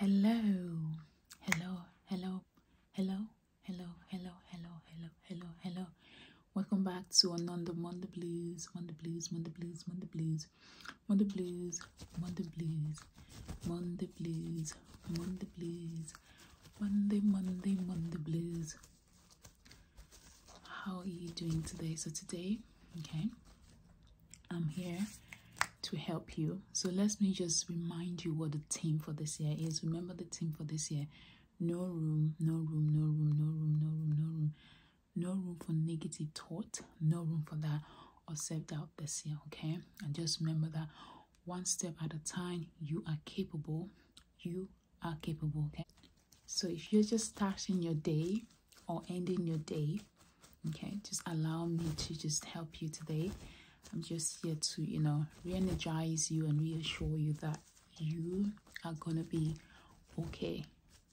Hello, hello, hello, hello, hello, hello, hello, hello, hello, hello. Welcome back to another Monday Blues, Monday Blues, Monday Blues, Monday Blues, Monday Blues, Monday Blues, Monday Blues, Monday Blues, Monday, Monday, Monday Blues. How are you doing today? So today, okay, I'm here to help you. So let me just remind you what the theme for this year is. Remember the theme for this year. No room, no room, no room, no room, no room, no room. No room for negative thought, no room for that or self-doubt this year, okay? And just remember that one step at a time, you are capable. You are capable, okay? So if you're just starting your day, or ending your day okay just allow me to just help you today i'm just here to you know reenergize you and reassure you that you are gonna be okay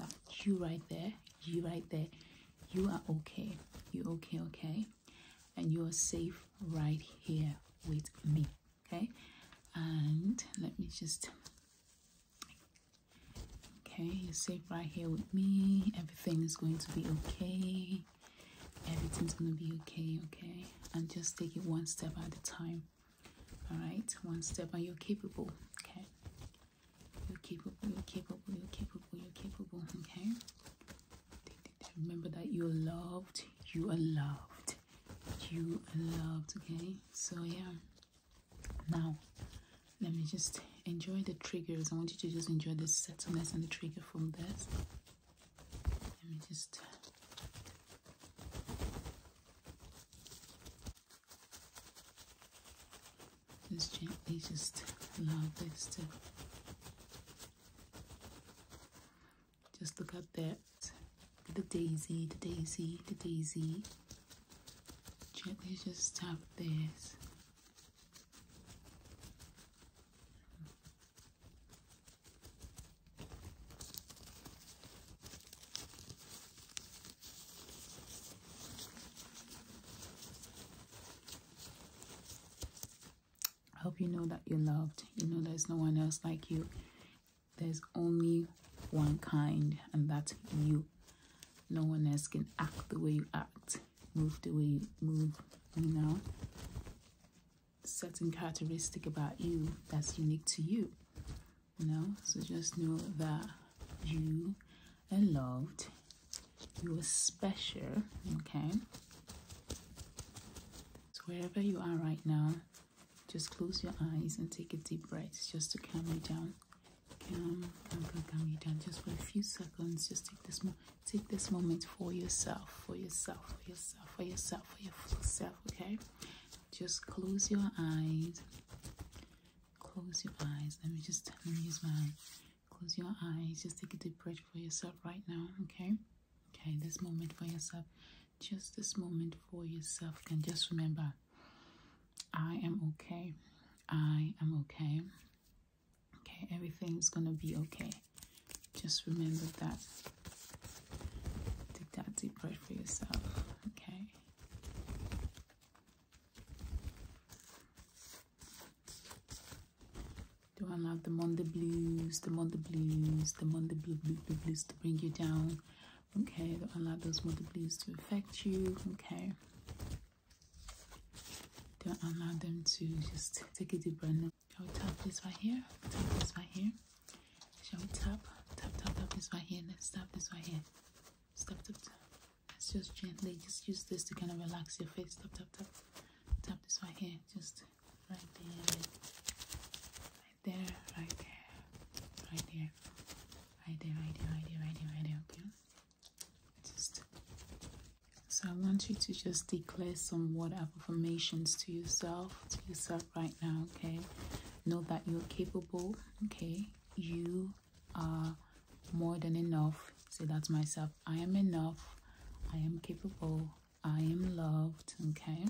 that you right there you right there you are okay you okay okay and you are safe right here with me okay and let me just Okay, you're safe right here with me. Everything is going to be okay. Everything's going to be okay, okay? And just take it one step at a time. All right, one step, and you're capable, okay? You're capable, you're capable, you're capable, you're capable, okay? Remember that you're loved, you are loved, you are loved, okay? So, yeah. Now, let me just enjoy the triggers. I want you to just enjoy the settleness and the trigger from this. Let me just. Just gently just allow this to just look at that the daisy the daisy the daisy gently just tap this. hope you know that you're loved. You know there's no one else like you. There's only one kind, and that's you. No one else can act the way you act, move the way you move, you know. Certain characteristic about you that's unique to you, you know. So just know that you are loved, you are special, okay. So wherever you are right now, just close your eyes and take a deep breath just to calm you down um, uncle can be done just for a few seconds just take this take this moment for yourself for yourself for yourself for yourself for yourself okay just close your eyes close your eyes let me just let me use my close your eyes just take a deep breath for yourself right now okay okay this moment for yourself just this moment for yourself Can just remember I am okay. I am okay. Okay, everything's gonna be okay. Just remember that. Take that deep breath for yourself. Okay. Do I love the Monday blues, the Monday blues, the Monday blue, blue, blue, blues to bring you down? okay that allow those multiplies to affect you okay don't allow them to just take a deep breath shall we tap this right here tap this right here shall we tap tap tap tap this right here let's tap this right here stop tap, tap let's just gently just use this to kind of relax your face tap tap tap tap this right here just right there right there right there right there I do, I do, I do, I do, okay? Just so I want you to just declare some word affirmations to yourself, to yourself right now, okay? Know that you're capable, okay? You are more than enough. Say that to myself. I am enough. I am capable. I am loved, okay?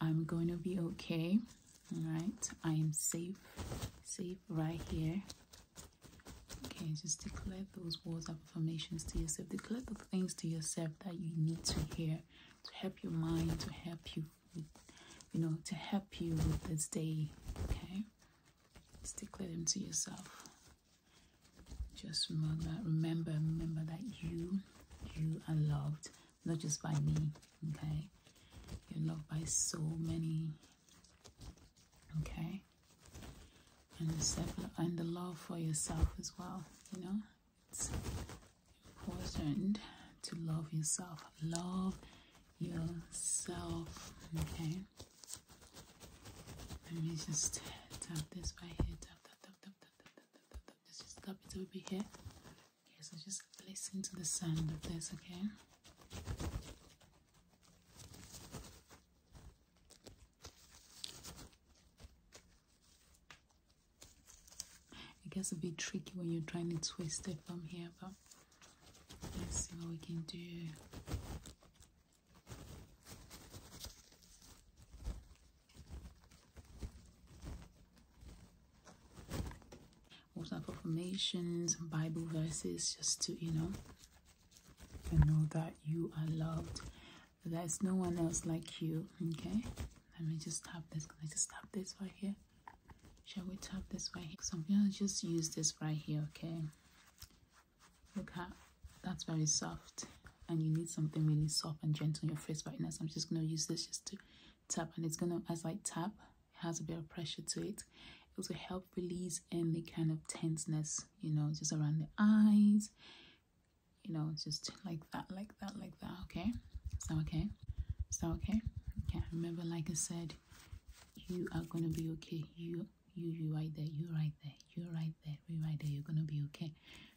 I'm going to be okay. All right, I am safe, safe right here. Okay, just declare those words of affirmations to yourself. Declare the things to yourself that you need to hear to help your mind, to help you, you know, to help you with this day. Okay, just declare them to yourself. Just remember, remember, remember that you, you are loved not just by me okay you're loved by so many okay and the and the love for yourself as well you know it's important to love yourself love yourself okay let me just tap this right here Let's just cup it over here. Okay, so just listen to the sound of this, okay? It will be tricky when you're trying to twist it from here, but let's see what we can do. Water affirmations, Bible verses, just to, you know, you know that you are loved. There's no one else like you, okay? Let me just tap this. Can I just tap this right here? Shall we tap this right here? So I'm gonna just use this right here, okay? Look how that's very soft and you need something really soft and gentle on your face right now so i'm just going to use this just to tap and it's going to as i tap it has a bit of pressure to it it will help release any kind of tenseness you know just around the eyes you know just like that like that like that okay is that okay is that okay okay remember like i said you are going to be okay you you you right there you right there you right there you right there you're going to be okay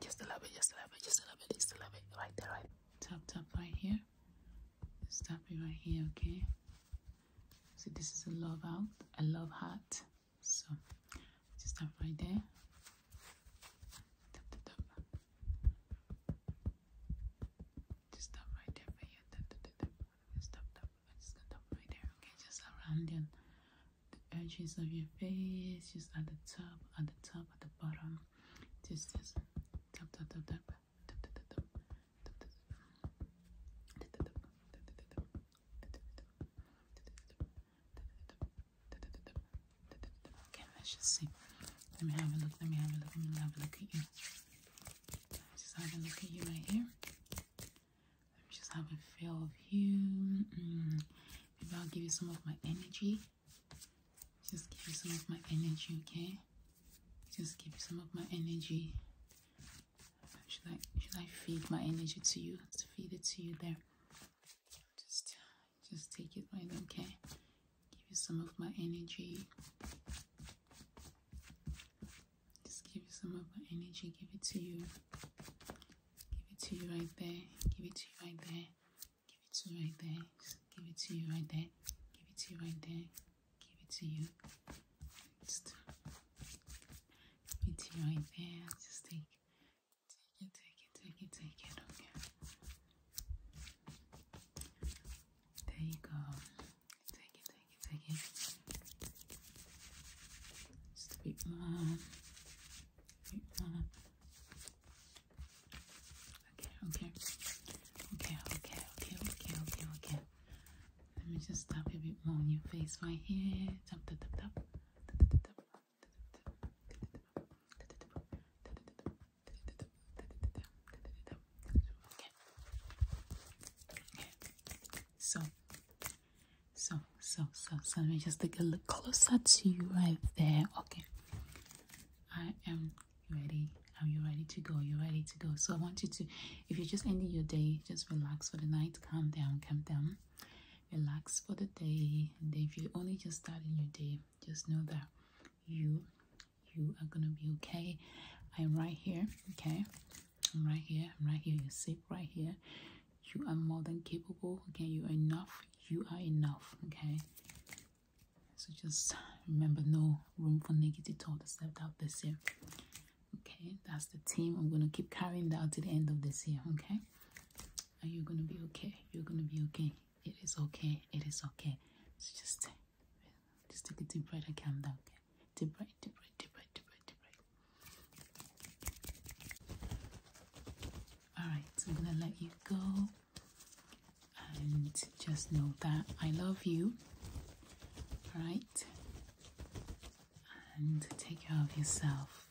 just love it, just love it, just love it, just love it, just love it, just right there, right. Tap, tap right here. Stop it right here, okay? So this is a love out, a love heart. So just tap right there. Tap, tap, Just tap right there Tap, tap, tap, tap. Just tap, tap. Just tap right there, okay? Just around you the edges of your face, just at the top, at the top, at the bottom. Just, just tap, tap, tap, tap. Okay, let's just see. Let me have a look. Let me have a look. Let me have a look at you. Just have a look at you right here. Let me just have a feel of you. Mm. Maybe I'll give you some of my energy. Just give you some of my energy, okay? Just give you some of my energy. Should I should I feed my energy to you? Let's feed it to you there. Just just take it right, okay? Give you some of my energy. Just give you some of my energy, give it to you give it to you right there, give it to you right there, give it to you right there, give it to you right there, give it to you right there, give it to you. Just give it to you right there. Just take take it, take it, take it, take it, okay. There you go. Take it, take it, take it. Just a bit more. Okay, okay, okay, okay, okay, okay, okay. Let me just tap a bit more on your face right here. So so, so, so, so let me just take a look closer to you right there. Okay. I am ready. Are you ready to go? You're ready to go. So I want you to, if you're just ending your day, just relax for the night. Calm down, calm down. Relax for the day. And if you're only just starting your day, just know that you, you are gonna be okay. I'm right here, okay? I'm right here. I'm right here. You're right here you are more than capable okay you are enough you are enough okay so just remember no room for negative thought Step out this year okay that's the team i'm gonna keep carrying that to the end of this year okay are you gonna be okay you're gonna be okay it is okay it is okay so just just take a deep breath and calm down okay Dubai, Dubai, Dubai, Dubai, Dubai. Alright, so I'm gonna let you go. And just know that I love you. Alright? And take care of yourself.